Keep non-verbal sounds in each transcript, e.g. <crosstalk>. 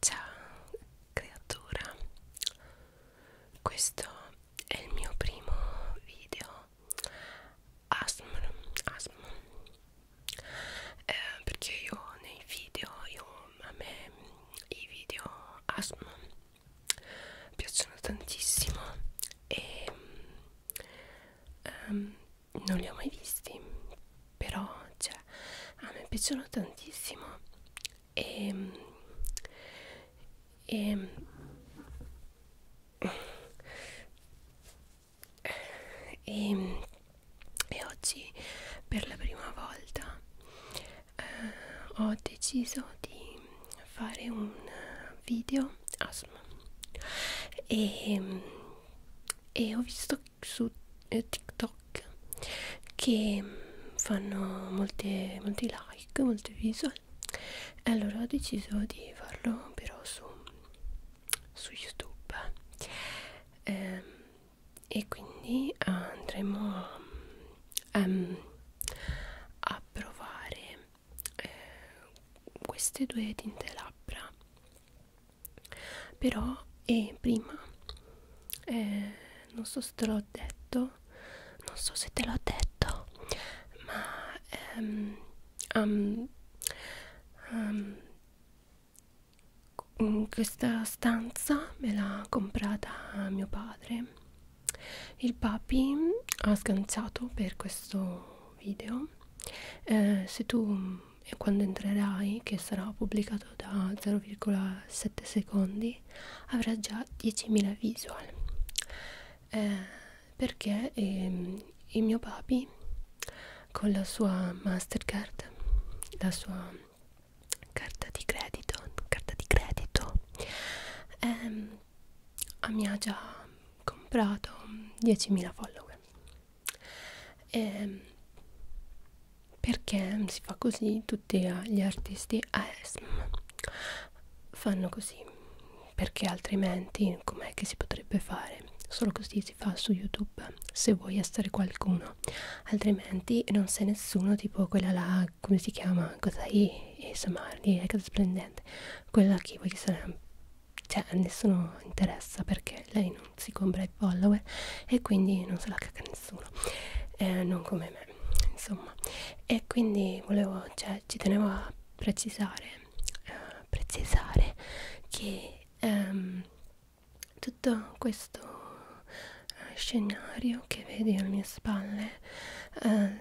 Ciao creatura, questo è il mio primo video ASMR, ASMR. Eh, perché io nei video io, a me i video ASMR piacciono tantissimo e um, non li ho mai visti però cioè a me piacciono tantissimo e, e e, e oggi per la prima volta eh, ho deciso di fare un video asma e, ehm, e ho visto su eh, TikTok TikTok che fanno molte, molti like, molte visual e allora ho deciso di farlo però su, su YouTube eh, e quindi andremo a, um, a provare eh, queste due tinte labbra però e prima eh, non so se te l'ho detto non so se te l'ho detto ma ehm, um, um, questa stanza me l'ha comprata mio padre il papi ha sganciato per questo video eh, se tu mm, quando entrerai che sarà pubblicato da 0,7 secondi Day avrà già 10.000 visual eh, perché eh, il mio papi con la sua Mastercard, la sua carta di credito, carta di credito ehm, mi ha già comprato 10.000 follower. E ehm, perché si fa così tutti ah, gli artisti ASM fanno così perché altrimenti com'è che si potrebbe fare solo così si fa su youtube se vuoi essere qualcuno altrimenti non sei nessuno tipo quella là come si chiama cosa è samardi è cosa splendente quella che voglio essere cioè a nessuno interessa perché lei non si compra i follower e quindi non se la caga nessuno eh, non come me insomma e quindi volevo cioè ci tenevo a precisare uh, precisare che um, tutto questo eh, scenario che vedi alle mie spalle eh,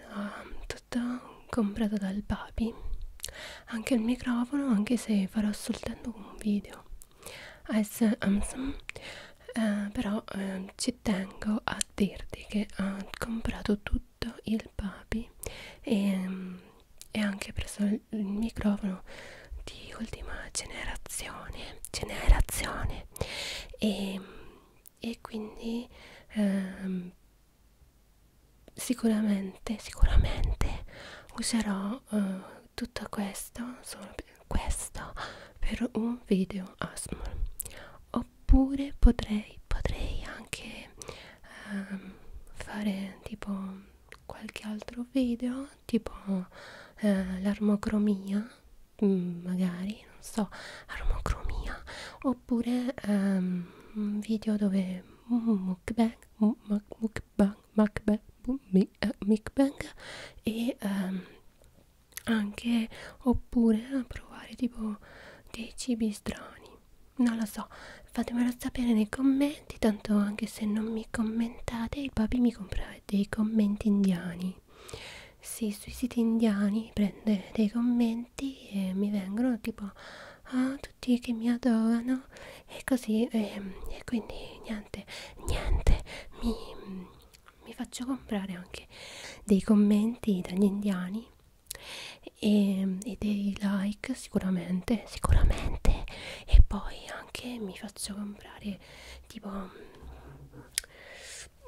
tutto comprato dal papi anche il microfono anche se farò soltanto un video as Amazon eh, però eh, ci tengo a dirti che ho comprato tutto il papi e, mm, e anche preso il, il microfono di ultima generazione generazione e, e quindi eh, sicuramente sicuramente userò eh, tutto questo solo questo per un video ASMR oppure potrei potrei anche ehm, fare tipo qualche altro video tipo eh, l'armocromia mm, magari non so armocromia oppure ehm, un video dove mukbang mukbang mukbang eh, mukbang e um, anche oppure a provare tipo dei cibi strani non lo so fatemelo sapere nei commenti tanto anche se non mi commentate il papi mi compra dei commenti indiani sì sui siti indiani prende dei commenti e mi vengono tipo ah tutti che mi adorano e così e, ehm, e quindi niente niente mi mi faccio comprare anche dei commenti dagli indiani e, e dei like sicuramente sicuramente e poi anche mi faccio comprare tipo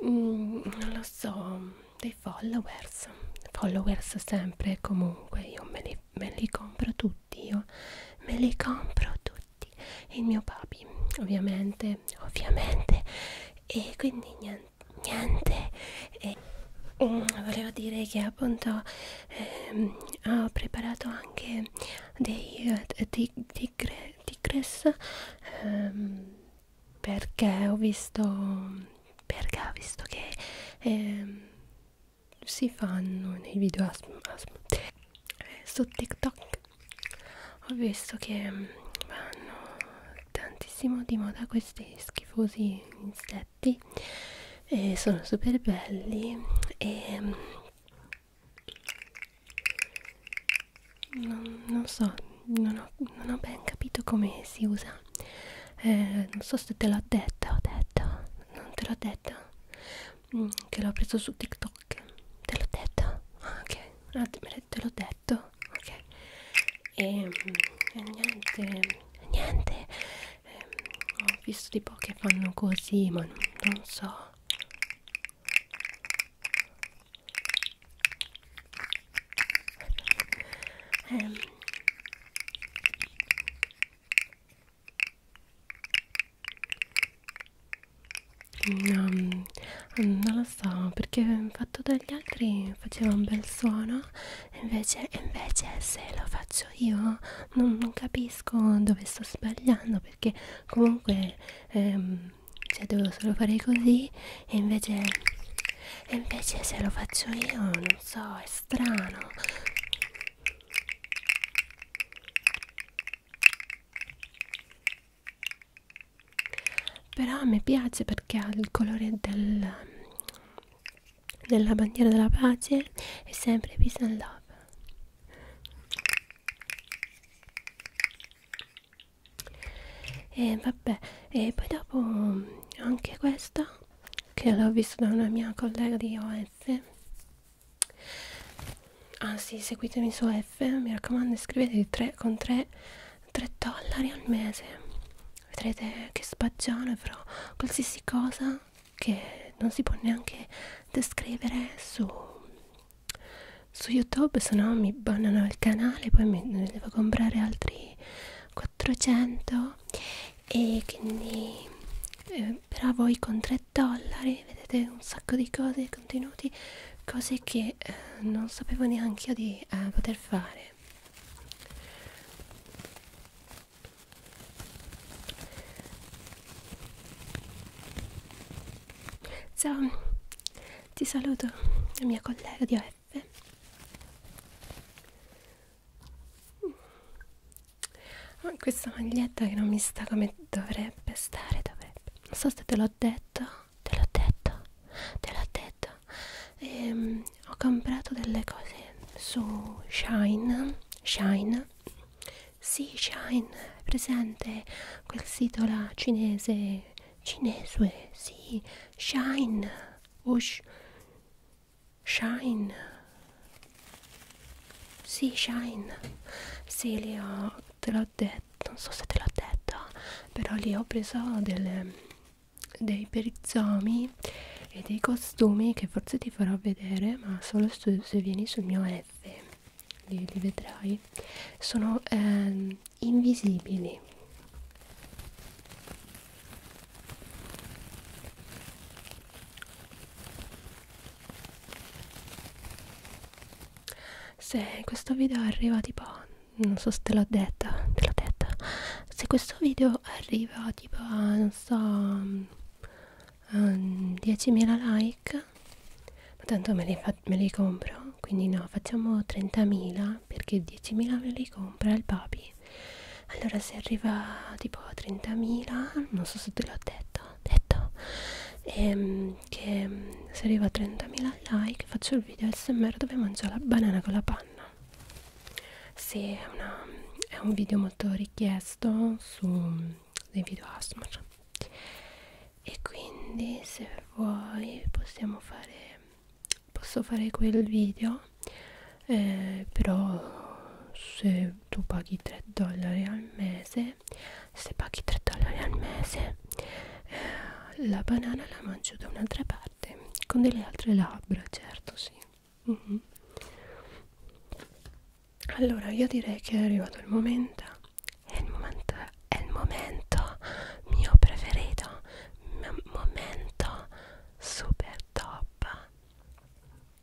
mm, non lo so dei followers followers sempre comunque io me li, me li compro tutti io me li compro tutti tutti e il mio papi ovviamente ovviamente e quindi niente, niente. E, um, volevo dire che appunto ehm, ho preparato anche dei uh, eh, tig tigre, tigres ehm, perché ho visto perché ho visto che ehm, si fanno nei video asm, asm, su TikTok ho visto che mm, vanno tantissimo di moda questi schifosi insetti e sono super belli e mm, non, non so non ho, non ho ben capito come si usa eh, non so se te l'ho detto ho detto non te l'ho detto mm, che l'ho preso su TikTok. Te l'ho detto? Ah, ok, te l'ho detto. Ok. E, mm, e niente, niente. E, ehm, ho visto tipo che fanno così, ma non, non so. Um. No, mm, um, non lo so, perché fatto dagli altri faceva un bel suono, invece, invece se lo faccio io non, non capisco dove sto sbagliando, perché comunque ehm, cioè, devo solo fare così e invece, e invece se lo faccio io non so, è strano però a me piace perché ha il colore del, della bandiera della pace e sempre peace and love e vabbè e poi dopo anche questa che l'ho vista da una mia collega di OS anzi seguitemi su F mi raccomando iscrivetevi tre, con 3 dollari al mese vedrete che spaggiano e farò qualsiasi cosa che non si può neanche descrivere su, su youtube se no mi bannano il canale poi mi, ne devo comprare altri 400 e quindi eh, però voi con 3 3 dollari vedete un sacco di cose contenuti cose che eh, non sapevo neanche io di eh, poter fare ciao ti saluto la mia collega di OF ah, questa maglietta che non mi sta come dovrebbe stare dovrebbe non so se te l'ho detto te l'ho detto te l'ho detto ehm, ho comprato delle cose su Shine Shine sì Shine è presente quel sito là cinese cinese sì Shine Ush Shine sì, Shine, sì, li ho, te l'ho detto, non so se te l'ho detto, però lì ho preso delle, dei perizomi e dei costumi che forse ti farò vedere, ma solo se, se vieni sul mio F, li, li vedrai, sono ehm, invisibili se questo video arriva tipo non so se te l'ho detta te l'ho detta se questo video arriva tipo non so um, mm, 10.000 mm, like ma tanto me li, me li compro quindi no facciamo 30.000 perché 10.000 me li compra il papi allora se arriva tipo a 30.000 non so se te l'ho detto detto ehm, che mm, se arrivo a 30.000 like faccio il video smr dove mangio la banana con la panna sì, è, una, è un video molto richiesto su mm, dei video ASMR e quindi se vuoi possiamo fare posso fare quel video eh, però se tu paghi 3 dollari al mese se paghi 3 dollari al mese eh, la banana la mangio da un'altra parte con delle altre labbra certo sì mm -hmm. allora io direi che è arrivato il momento è il momento è il momento mio preferito momento super top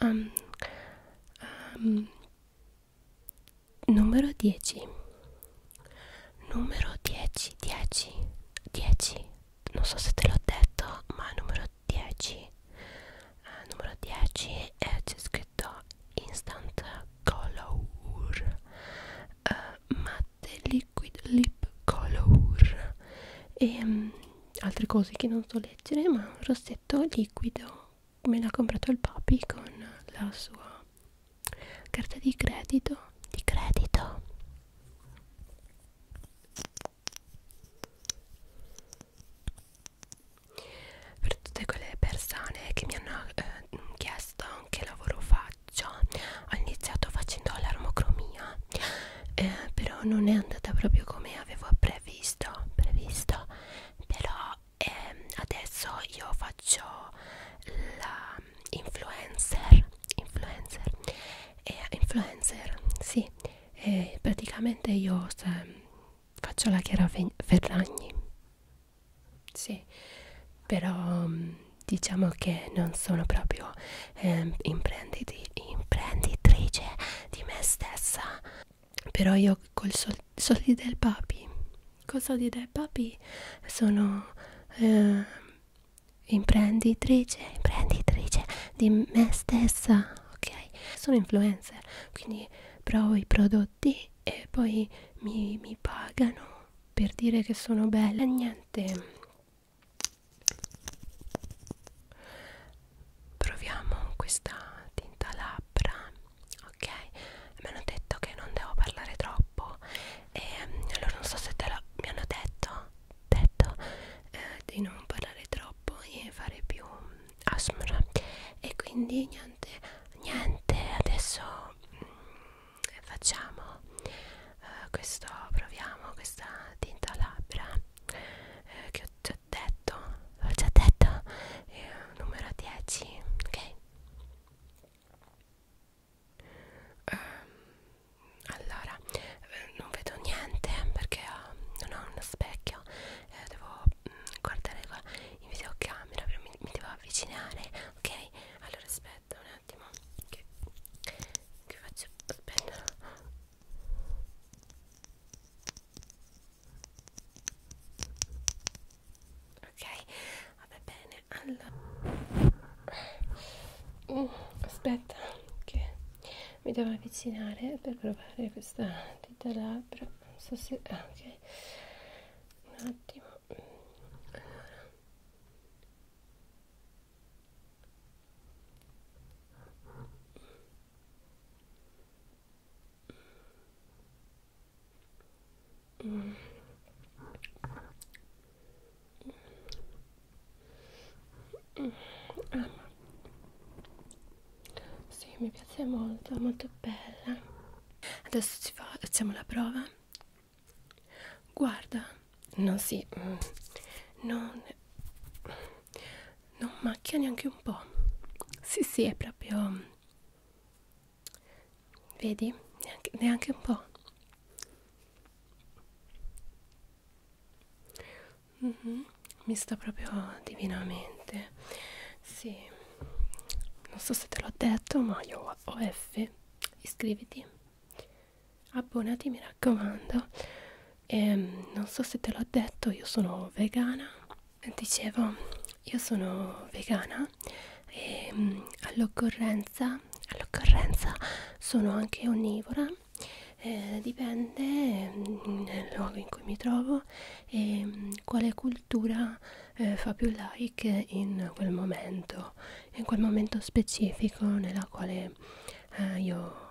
um, um, numero 10 numero 10 10 10 non so se te l'ho detto ma numero 10 uh, eh, numero 10 eh, c'è scritto instant color uh, eh, matte liquid lip color e um, altre cose che non so leggere ma un rossetto liquido me l'ha comprato il papi con la sua carta di credito di credito per tutte quelle persone che mi hanno eh, chiesto che lavoro faccio ho iniziato facendo l'armocromia eh, però non è andata proprio come avevo appre previsto, previsto però ehm, adesso io faccio la influencer influencer eh, influencer sì eh, praticamente io faccio la Chiara Ferragni sì però diciamo che non sono proprio eh, imprenditrice di me stessa però io col sol soldi del papi col soldi del papi sono eh, imprenditrice imprenditrice di me stessa ok sono influencer quindi provo i prodotti e poi mi, mi pagano per dire che sono bella niente proviamo questa tinta labbra ok mi hanno detto che non devo parlare troppo e mm, allora non so se te lo mi hanno detto, detto eh, di non parlare troppo e fare più mm, asmr e quindi niente niente adesso mm, facciamo eh, questo proviamo questa tinta labbra eh, che ho ti ho detto l'ho già detto eh, numero 10 ok um, allora eh, non vedo niente perché ho, eh, non ho uno specchio eh, devo mh, mm, guardare qua in videocamera mi, mi devo avvicinare ok allora aspetta un attimo che, che faccio aspetta ok vabbè bene allora mm, aspetta che mi devo avvicinare per provare questa dita labbra non so se ah, ok un attimo allora Mm. Mm. Ah, sì, mi piace molto, molto bella. Adesso ci fa, facciamo la prova. Guarda, no, sì, non. Mm, non macchia neanche un po' sì sì è proprio vedi neanche, neanche un po' mm -hmm. mi sta proprio divinamente sì non so se te l'ho detto ma io ho F iscriviti abbonati mi raccomando e, ehm, non so se te l'ho detto io sono vegana dicevo io sono vegana e ehm, all'occorrenza all'occorrenza sono anche onnivora eh, dipende ehm, nel luogo in cui mi trovo e quale cultura eh, fa più like in quel momento in quel momento specifico nella quale eh, io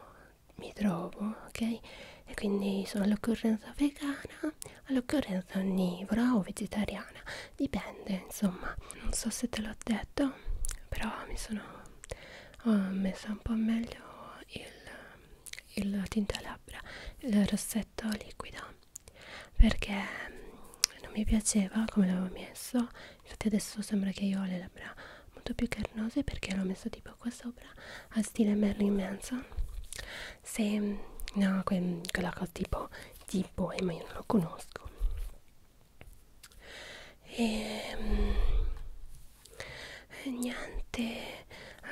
mi trovo, ok? E quindi sono all'occorrenza vegana, all'occorrenza onnivora o vegetariana, dipende, insomma. Non so se te l'ho detto, però mi sono ho messa un po' meglio il, il tinta labbra, il rossetto liquido perché non mi piaceva come l'avevo messo infatti adesso sembra che io ho le labbra molto più carnose perché l'ho messo tipo qua sopra a stile Merlin Manson se no que, quella cosa tipo tipo eh, ma io non lo conosco e ehm, eh, niente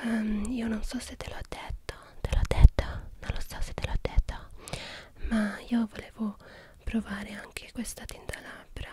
um, io non so se te l'ho detto te l'ho detto non lo so se te l'ho detto ma io volevo provare anche questa tinta labbra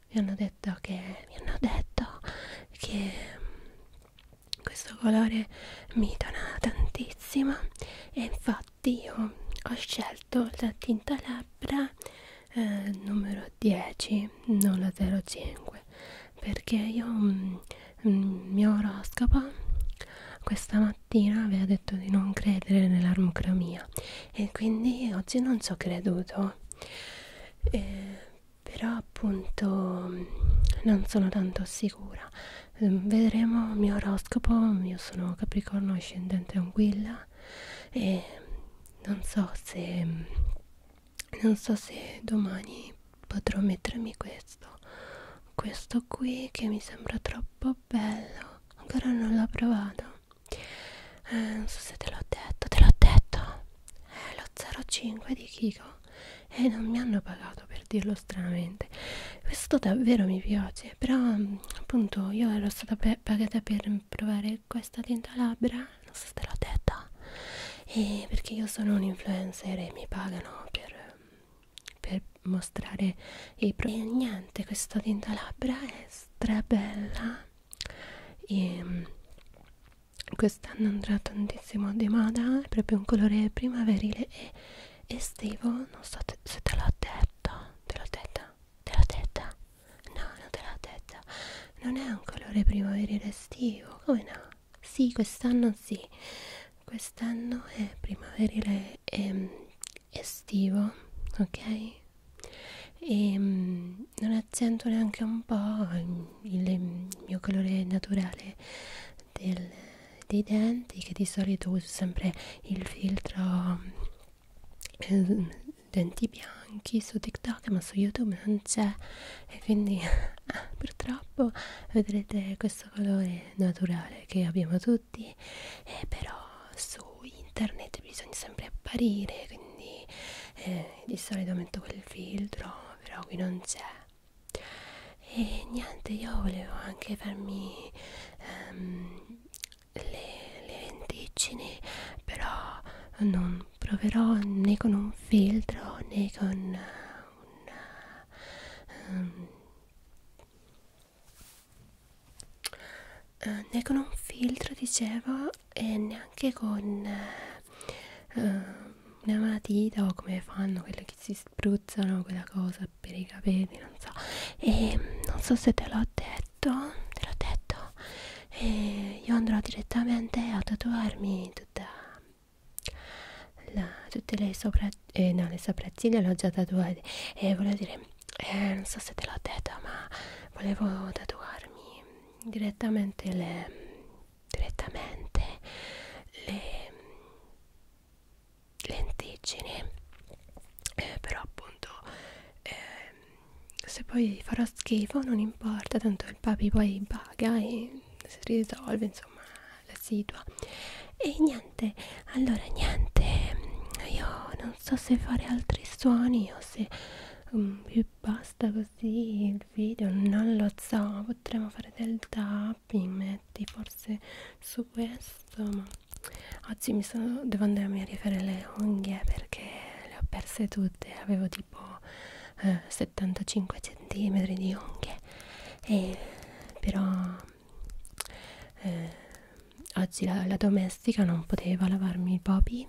mi hanno detto che mi hanno detto che mm, questo colore mi tona tantissimo e infatti io ho scelto la tinta labbra eh, numero 10 non la 05 perché io mh, mm, mh, mm, mio oroscopo questa mattina aveva detto di non credere nell'armocromia e quindi oggi non ci ho creduto eh, però appunto non sono tanto sicura ehm, vedremo il mio oroscopo io sono capricorno ascendente anguilla e non so se non so se domani potrò mettermi questo questo qui che mi sembra troppo bello ancora non l'ho provato eh, non so se te l'ho detto te l'ho detto è lo 05 di Kiko e non mi hanno pagato per dirlo stranamente questo davvero mi piace però mm, appunto io ero stata pagata per provare questa tinta labbra non so se te l'ho detta e perché io sono un influencer e mi pagano per, per mostrare i prodotti e niente questa tinta labbra è strabella e mm, quest'anno andrà tantissimo di moda è proprio un colore primaverile e estivo non so te, se te l'ho detto te l'ho detta te l'ho detta no non te l'ho detta non è un colore primaverile estivo come no sì quest'anno sì quest'anno è primaverile ehm, estivo ok e, mm, non accento neanche un po' il, il mio colore naturale del, dei denti che di solito uso sempre il filtro eh, denti bianchi su TikTok ma su YouTube non c'è e quindi <laughs> ah, purtroppo vedrete questo colore naturale che abbiamo tutti eh, però su internet bisogna sempre apparire quindi eh, di solito metto quel filtro però qui non c'è e niente io volevo anche farmi ehm, le, le venticine però non proverò né con un filtro né con un um, ehm, eh, né con un filtro dicevo e neanche con eh, eh, una matita o come fanno quelle che si spruzzano quella cosa per i capelli non so e non so se te l'ho detto te l'ho detto e io andrò direttamente a tatuarmi tutta la, tutte le sopra eh, no le sopracciglia le ho già tatuate e volevo dire eh, non so se te l'ho detto ma volevo tatuarmi direttamente le direttamente le lenticine eh, però appunto eh, se poi farò schifo non importa tanto il papi poi paga e si risolve insomma la situa e niente allora niente io non so se fare altri suoni o se um, mm, vi basta così il video non lo so potremmo fare del tapping metti forse su questo ma oggi mi sono devo andarmi a rifare le unghie perché le ho perse tutte avevo tipo eh, 75 cm di unghie e eh, però eh, oggi la, la, domestica non poteva lavarmi i Bobby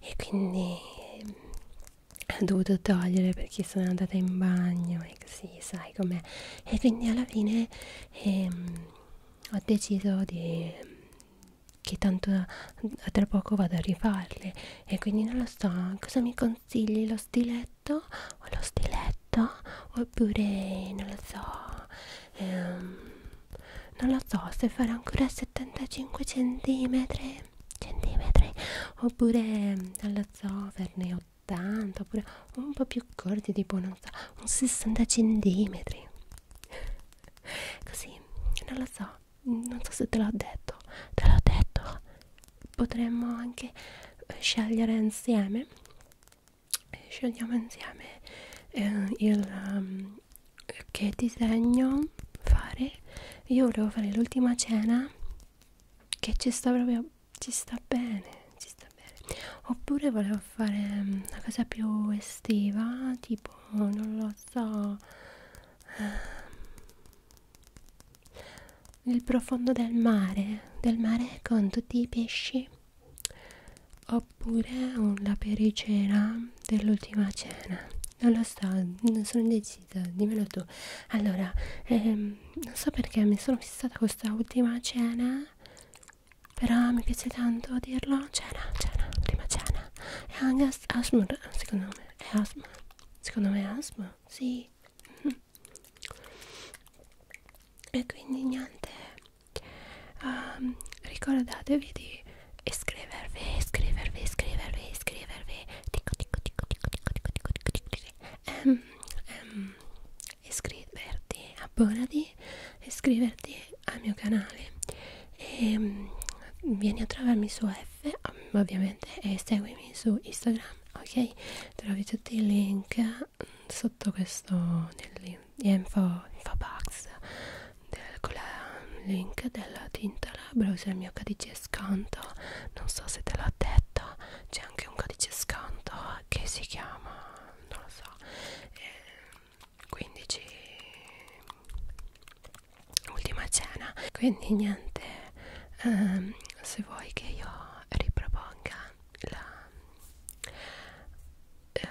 e quindi ehm, ho dovuto togliere perché sono andata in bagno e così sai com'è e quindi alla fine ehm, ho deciso di, che tanto tra poco vado a rifarle e quindi non lo so cosa mi consigli lo stiletto o lo stiletto oppure non lo so ehm, non lo so se farà ancora 75 centimetri centimetri oppure non lo so farne 80 oppure un po' più corti tipo non so un 60 centimetri così non lo so non so se te l'ho detto te l'ho detto potremmo anche eh, scegliere insieme eh, scegliamo insieme eh, il, um, che disegno fare io volevo fare l'ultima cena che ci sta proprio ci sta bene ci sta bene oppure volevo fare mm, una cosa più estiva tipo non lo so ehm, il profondo del mare del mare con tutti i pesci o oppure la pericera dell'ultima cena non lo so non sono indecisa dimmelo tu allora ehm, non so perché mi sono fissata con questa ultima cena però mi piace tanto dirlo cena cena prima cena è anche Asmur secondo me è Asmur secondo me è Asmur sì mhm. e quindi niente um, ricordatevi di iscrivervi, iscrivervi, iscrivervi, iscrivervi, dico, dico, dico, dico, dico, dico, dico, dico, dico, dico. Um, ehm, um, ehm, iscriverti, abbonati, iscriverti al mio canale e um, vieni a trovarmi su F um, ovviamente e seguimi su Instagram, ok? Trovi tutti i link mm, sotto questo nel, info, infobox del, con il link della tinta labbra usa il mio codice sconto non so se te l'ho detto c'è anche un codice sconto che si chiama non lo so eh, 15 ultima cena quindi niente um, se vuoi che io riproponga la, uh,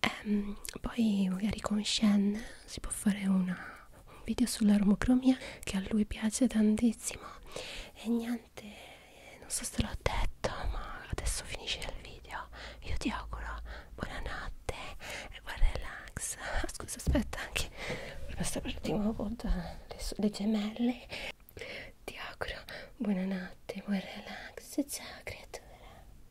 ehm, poi magari con Shen si può fare una, un video sull'armocromia che a lui piace tantissimo e niente non so se l'ho detto ma adesso finisce il video io ti auguro buonanotte e buon relax ah, scusa aspetta anche basta per di nuovo le, le gemelle ti auguro buonanotte buon relax ciao creatura